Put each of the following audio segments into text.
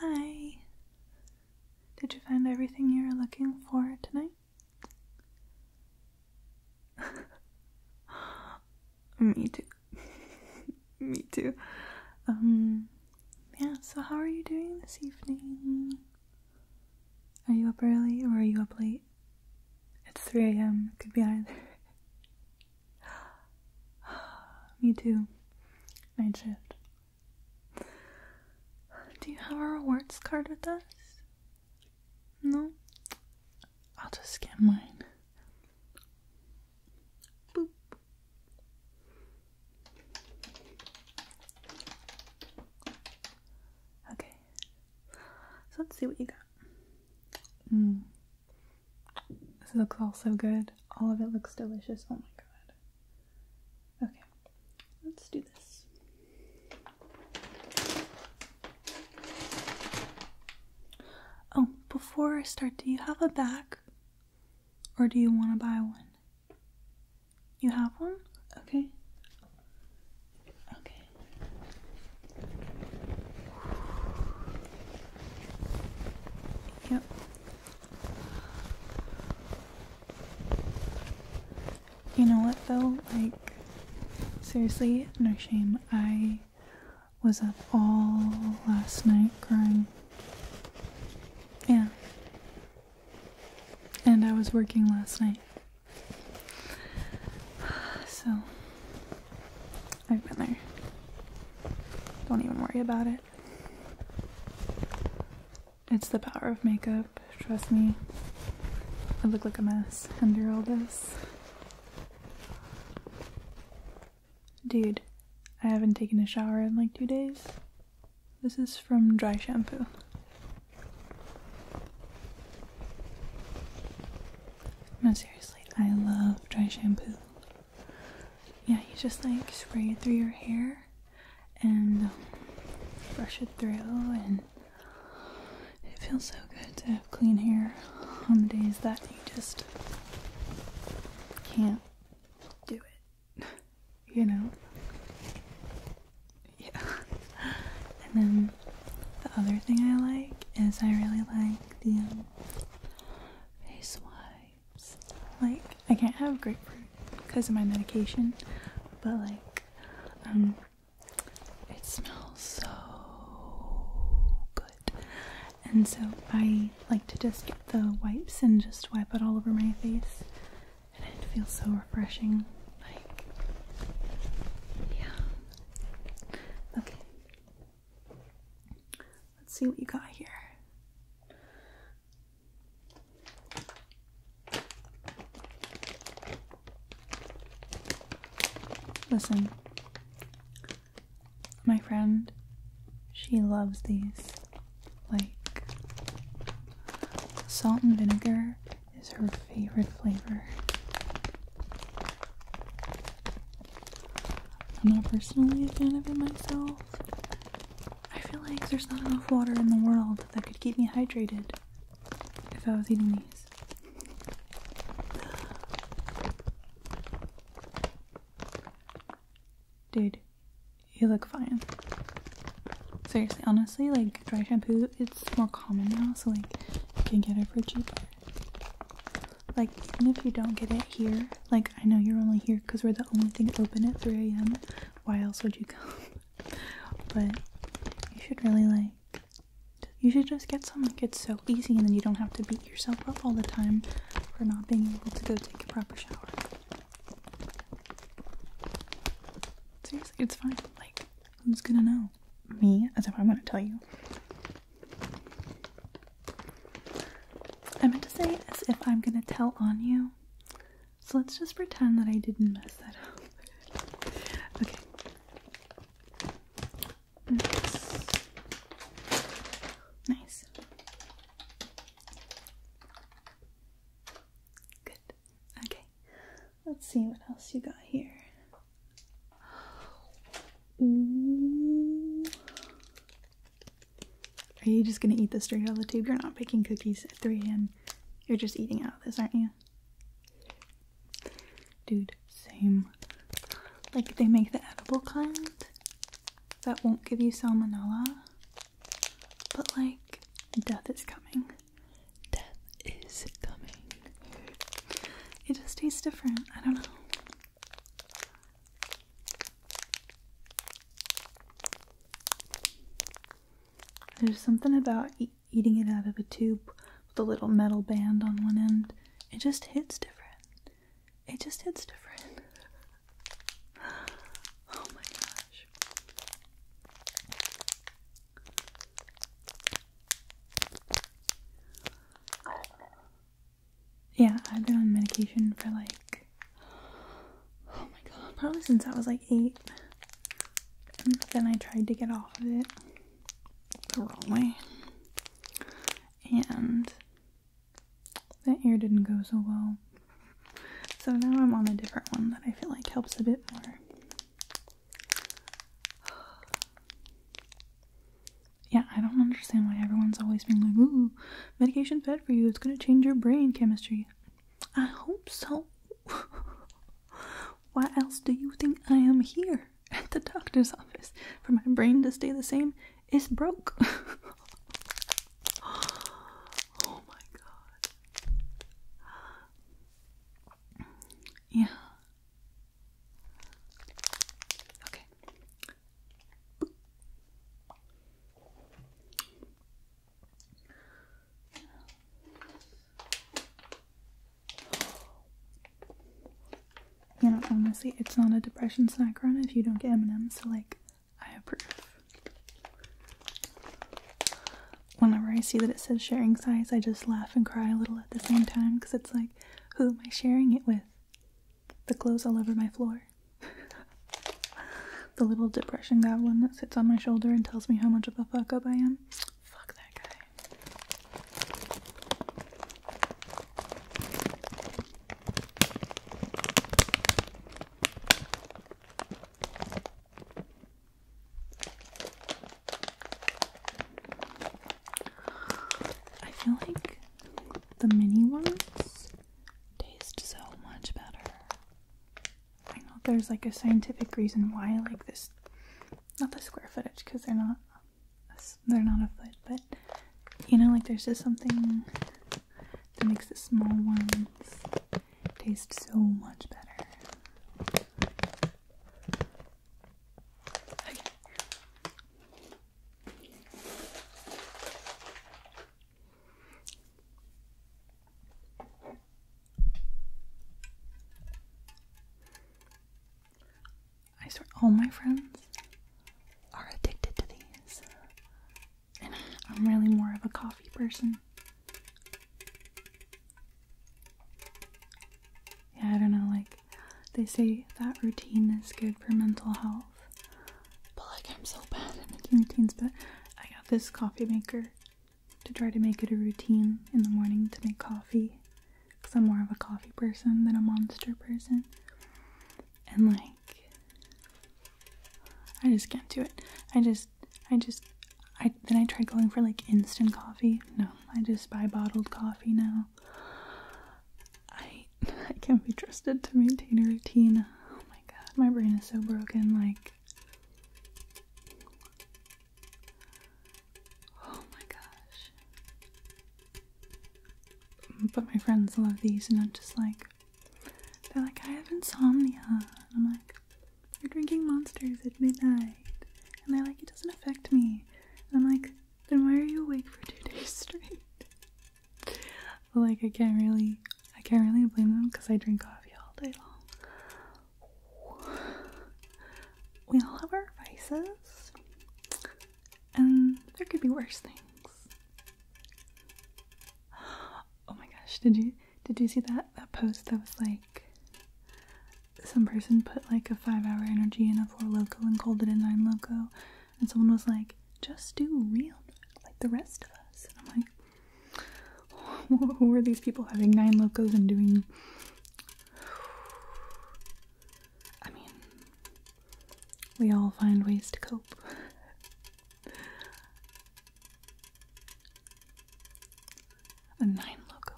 Hi. Did you find everything you were looking for tonight? Me too. Me too. Um, yeah, so how are you doing this evening? Are you up early or are you up late? It's 3 a.m. It could be either. Me too. Night shift. Do you have a rewards card with us? No? I'll just scan mine. Boop. Okay. So let's see what you got. Mm. This looks all so good. All of it looks delicious. Oh my god. Okay, let's do this. Oh, before I start, do you have a bag? Or do you want to buy one? You have one? Okay. Okay. Yep. You know what though? Like, seriously, no shame. I was up all last night crying. Yeah. And I was working last night. So, I've been there. Don't even worry about it. It's the power of makeup, trust me. I look like a mess under all this. Dude, I haven't taken a shower in like two days. This is from dry shampoo. No, seriously, I love dry shampoo. Yeah, you just like spray it through your hair and brush it through and it feels so good to have clean hair on the days that you just can't do it you know yeah and then the other thing I like is I really like the um, face wipes like I can't have grapefruit because of my medication, but like, um, it smells so good. And so I like to just get the wipes and just wipe it all over my face, and it feels so refreshing. Like, yeah. Okay. Let's see what you got here. Listen, my friend, she loves these. Like, salt and vinegar is her favorite flavor. I'm not personally a fan of it myself, I feel like there's not enough water in the world that could keep me hydrated if I was eating these. Dude, you look fine. Seriously, honestly, like dry shampoo, it's more common now, so like you can get it for cheap. Like, even if you don't get it here, like I know you're only here because we're the only thing open at 3 a.m why else would you come? but you should really like you should just get some like it's so easy and then you don't have to beat yourself up all the time for not being able to go take a proper shower. Seriously, it's fine. Like, who's gonna know? Me, as if I'm gonna tell you. I meant to say as if I'm gonna tell on you, so let's just pretend that I didn't mess that up. okay. Nice. Good. Okay. Let's see what else you got here. Ooh. Are you just gonna eat this straight out of the tube? You're not picking cookies at 3 a.m. You're just eating out of this, aren't you? Dude, same. Like they make the edible kind that won't give you salmonella. But like, death is coming. Death is coming. It just tastes different. I don't know. There's something about eating it out of a tube with a little metal band on one end. It just hits different. It just hits different. oh my gosh. Yeah, I've been on medication for like oh my god, probably since I was like eight. then I tried to get off of it the wrong way. And that year didn't go so well. So now I'm on a different one that I feel like helps a bit more. Yeah, I don't understand why everyone's always being like, ooh, medication's bad for you. It's gonna change your brain chemistry. I hope so. Why else do you think I am here at the doctor's office? For my brain to stay the same is broke. oh my god. Yeah. Okay. You know, honestly, it's not a depression snack run if you don't get M&M's, so like, I approve. Whenever I see that it says sharing size, I just laugh and cry a little at the same time because it's like, who am I sharing it with? The clothes all over my floor. the little depression goblin that sits on my shoulder and tells me how much of a fuck up I am. Fuck that guy. I feel like the mini ones taste so much better. I know there's like a scientific reason why I like this, not the square footage because they're not they're not a foot, but you know, like there's just something that makes the small ones taste so much better. Okay. I swear, all my friends are addicted to these, I'm really more of a coffee person. Yeah, I don't know, like they say that routine is good for mental health. But like I'm so bad at making routines, but I got this coffee maker to try to make it a routine in the morning to make coffee. Cause I'm more of a coffee person than a monster person. And like I just can't do it. I just I just I then I tried going for like instant coffee. No, I just buy bottled coffee now. I I can't be trusted to maintain a routine. Oh my god, my brain is so broken. Like, oh my gosh. But my friends love these, and I'm just like, they're like, I have insomnia. And I'm like, you're drinking monsters at midnight, and they're like, it doesn't affect me. And I'm like, then why are you awake for two days straight? like I can't really I can't really blame them because I drink coffee all day long. We all have our vices. And there could be worse things. Oh my gosh, did you did you see that that post that was like some person put like a five hour energy in a four loco and called it a nine loco and someone was like, just do real like the rest of us. And I'm like, who are these people having nine locos and doing. I mean, we all find ways to cope. A nine loco.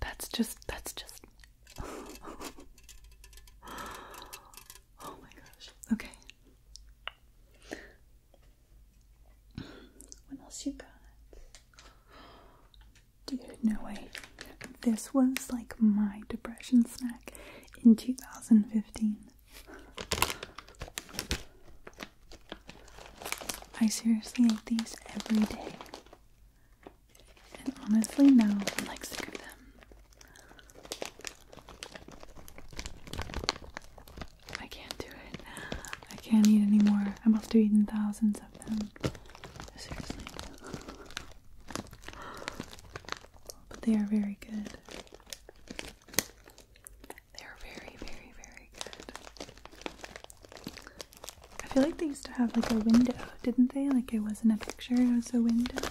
That's just, that's just oh my gosh. Okay. What else you got? Dude, no way. This was like my depression snack in 2015. I seriously ate these every day. And honestly, no, I'm like sick of them. I can't do it. I can't eat anymore. I must have eaten thousands of them. Seriously. But they are very good. They are very, very, very good. I feel like they used to have like a window, didn't they? Like it wasn't a picture, it was a window.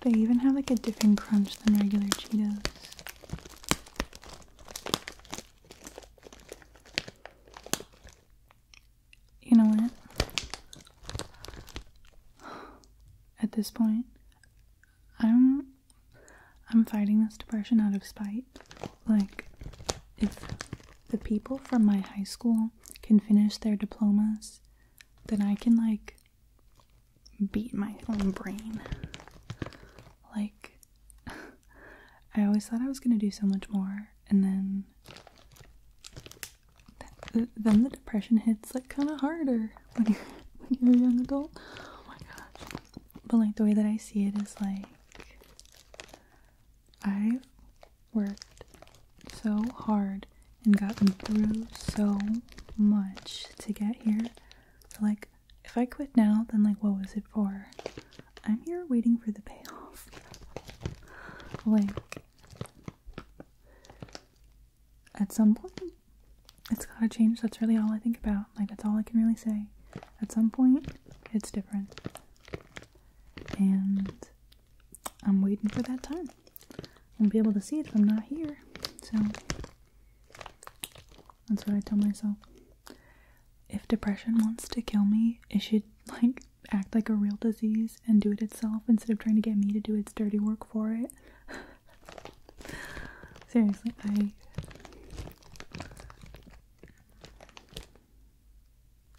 They even have like a different crunch than regular Cheetos. You know what? At this point, I'm I'm fighting this depression out of spite like if the people from my high school can finish their diplomas, then I can like beat my own brain. Like I always thought I was going to do so much more and then then the depression hits like kind of harder when you're when you're a young adult. Oh my gosh. But like the way that I see it is like I've worked so hard and gotten through so much to get here. like, if I quit now, then like, what was it for? I'm here waiting for the payoff. like, at some point, it's gotta change. That's really all I think about. Like, that's all I can really say. At some point, it's different and I'm waiting for that time. I'll be able to see it if I'm not here. So that's what I tell myself. If depression wants to kill me, it should like act like a real disease and do it itself instead of trying to get me to do its dirty work for it. Seriously, I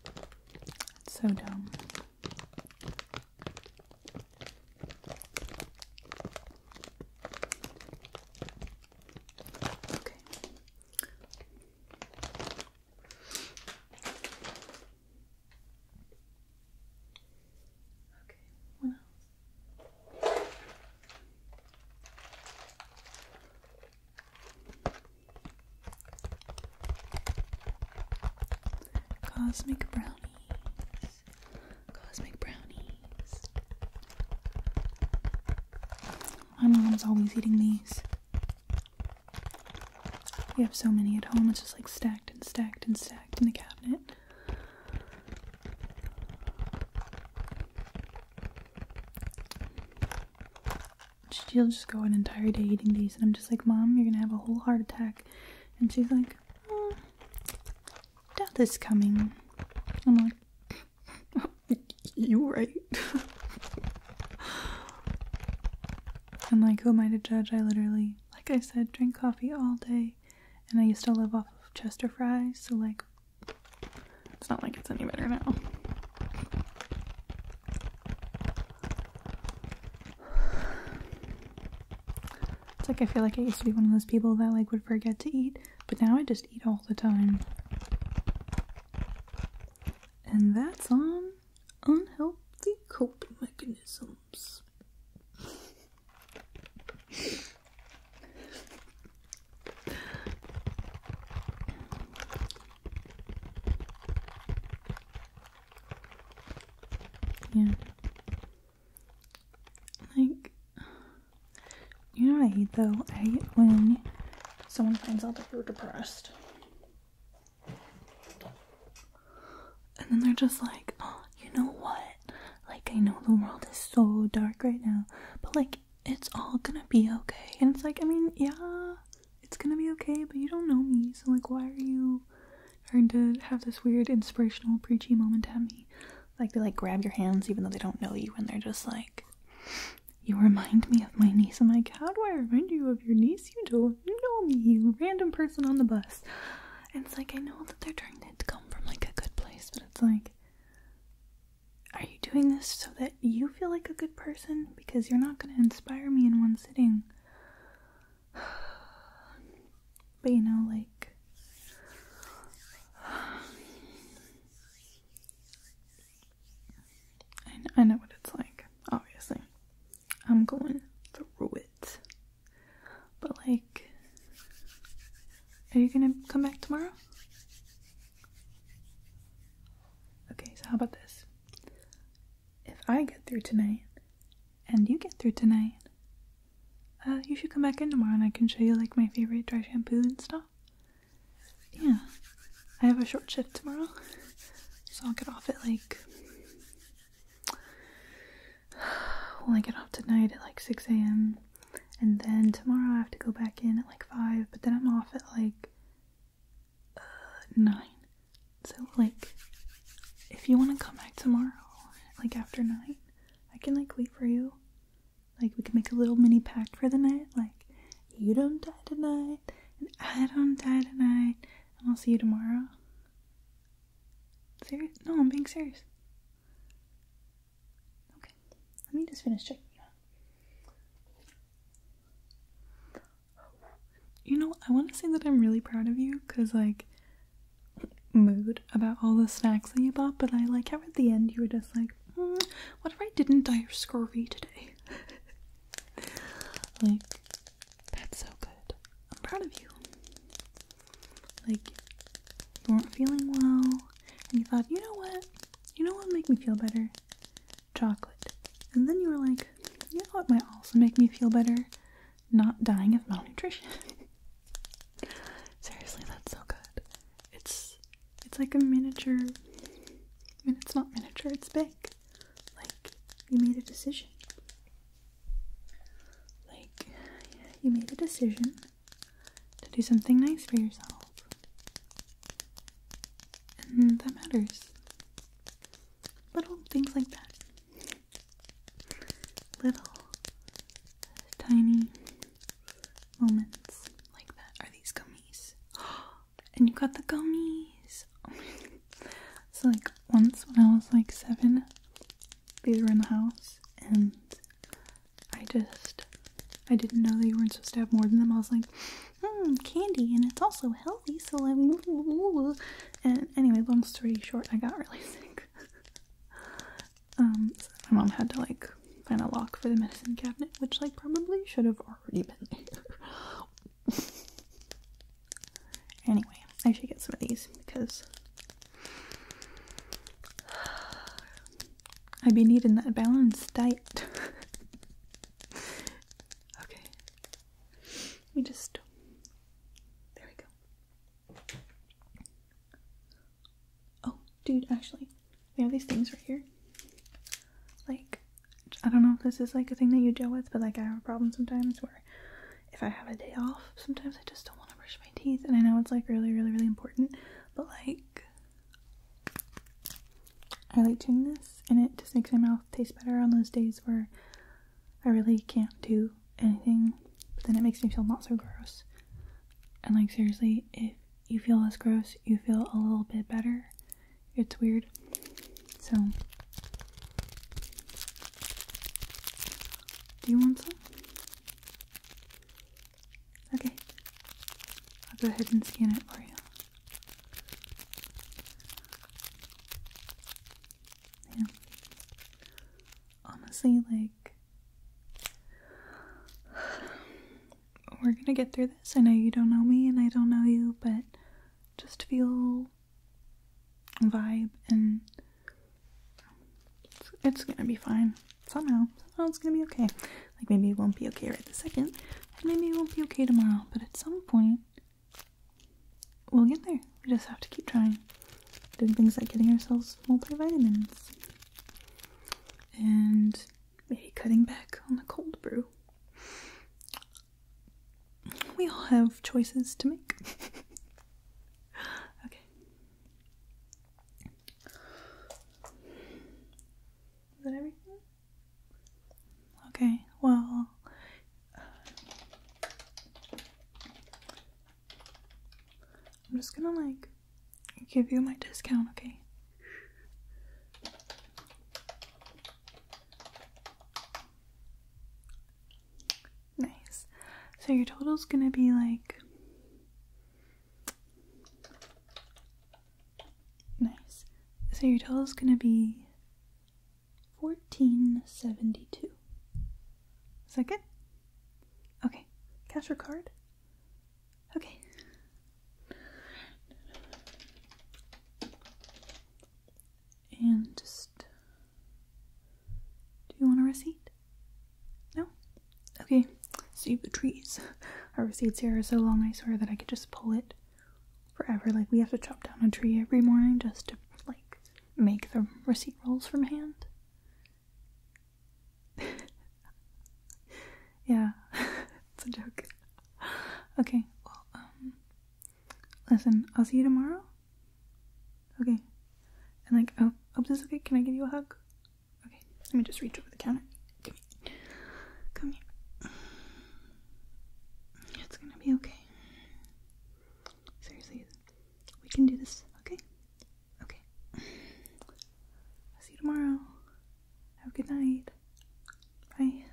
that's so dumb. Okay. Okay, what else? Cosmic brownies. Cosmic brownies. My mom's always eating these. We have so many at home, it's just like stacked and stacked and stacked in the cabinet. She'll just go an entire day eating these, and I'm just like, Mom, you're gonna have a whole heart attack. And she's like, oh, Death is coming. I'm like, You are right. I'm like, Who am I to judge? I literally, like I said, drink coffee all day, and I used to live off of Chester fries, so like, it's not like it's any better now. It's like I feel like I used to be one of those people that like would forget to eat, but now I just eat all the time. And that's on unhealthy coping mechanisms yeah. Like, you know what I hate though? I hate when someone finds out that you're depressed. And then they're just like, oh, you know what? Like, I know the world is so dark right now, but like, it's all gonna be okay. And it's like, I mean, yeah, it's gonna be okay, but you don't know me, so like, why are you trying to have this weird inspirational preachy moment at me? Like, they like grab your hands even though they don't know you, and they're just like, you remind me of my niece. I'm like, how do I remind you of your niece? You don't know me, you random person on the bus. And it's like, I know that they're trying to come from like a good place, but it's like, are you doing this so that you feel like a good person? Because you're not going to inspire me in one sitting. But you know, like. I know, what it's like, obviously. I'm going through it. But, like, are you gonna come back tomorrow? Okay, so how about this? If I get through tonight and you get through tonight, uh, you should come back in tomorrow and I can show you like my favorite dry shampoo and stuff. Yeah, I have a short shift tomorrow, so I'll get off at like. Well, I get off tonight at like 6 a.m. And then tomorrow I have to go back in at like 5, but then I'm off at like uh, 9. So, like, if you want to come back tomorrow, like after 9, I can like wait for you. Like, we can make a little mini pact for the night. Like, you don't die tonight, and I don't die tonight, and I'll see you tomorrow. Serious? No, I'm being serious. Okay, let me just finish checking you out. You know, I want to say that I'm really proud of you because, like, mood about all the snacks that you bought, but I like how at the end you were just like, hmm, what if I didn't die of scurvy today? like, that's so good. I'm proud of you like you weren't feeling well and you thought, you know what? You know what will make me feel better? Chocolate. And then you were like, you know what might also make me feel better? Not dying of malnutrition. Seriously, that's so good. It's it's like a miniature I mean it's not miniature, it's big. Like you made a decision. Like you made a decision to do something nice for yourself. And that matters. Little things like that. Little tiny moments like that are these gummies. and you got the gummies. so like once when I was like seven, these were in the house and I just, I didn't know they weren't supposed to have more than them. I was like, hmm, candy, and it's also healthy, so I'm. And anyway, long story short, I got really sick. um, my mom had to like find a lock for the medicine cabinet, which like probably should have already been there. anyway, I should get some of these because i would be needing that balance diet. okay. We just. There we go. Oh, dude, actually, we have these things right here. Like, I don't know if this is like a thing that you deal with, but like I have a problem sometimes where if I have a day off, sometimes I just don't want to brush my teeth. And I know it's like really, really, really important, but like, I like doing this and it just makes my mouth taste better on those days where I really can't do anything. But then it makes me feel not so gross. And like, seriously, if you feel less gross, you feel a little bit better. It's weird. So, do you want some? Okay. I'll go ahead and scan it for you. Yeah. Honestly, like, we're gonna get through this. I know you don't know me and I don't know you, but just feel vibe and it's, gonna be fine. Somehow. Somehow it's gonna be okay. Like maybe it won't be okay right the second. maybe it won't be okay tomorrow. But at some point we'll get there. We just have to keep trying. Doing things like getting ourselves multivitamins. And maybe cutting back on the cold brew. We all have choices to make. okay, is that everything? Okay, well, I'm just gonna like give you my discount, okay? Nice. So your total's gonna be like. Nice. So your total's gonna be 1472. Is that good? Okay. Cash or card? Okay. And just do you want a receipt? No? Okay, save the trees. Our receipts here are so long, I swear that I could just pull it forever. Like, we have to chop down a tree every morning just to, like, make the receipt rolls from hand. yeah, it's a joke. Okay, well, um, listen, I'll see you tomorrow. Okay. And like, oh, hope oh, this is okay. Can I give you a hug? Okay. Let me just reach over the counter. Come here. Come here. It's gonna be okay. Seriously, we can do this. Okay. Okay. see you tomorrow. Have a good night. Bye.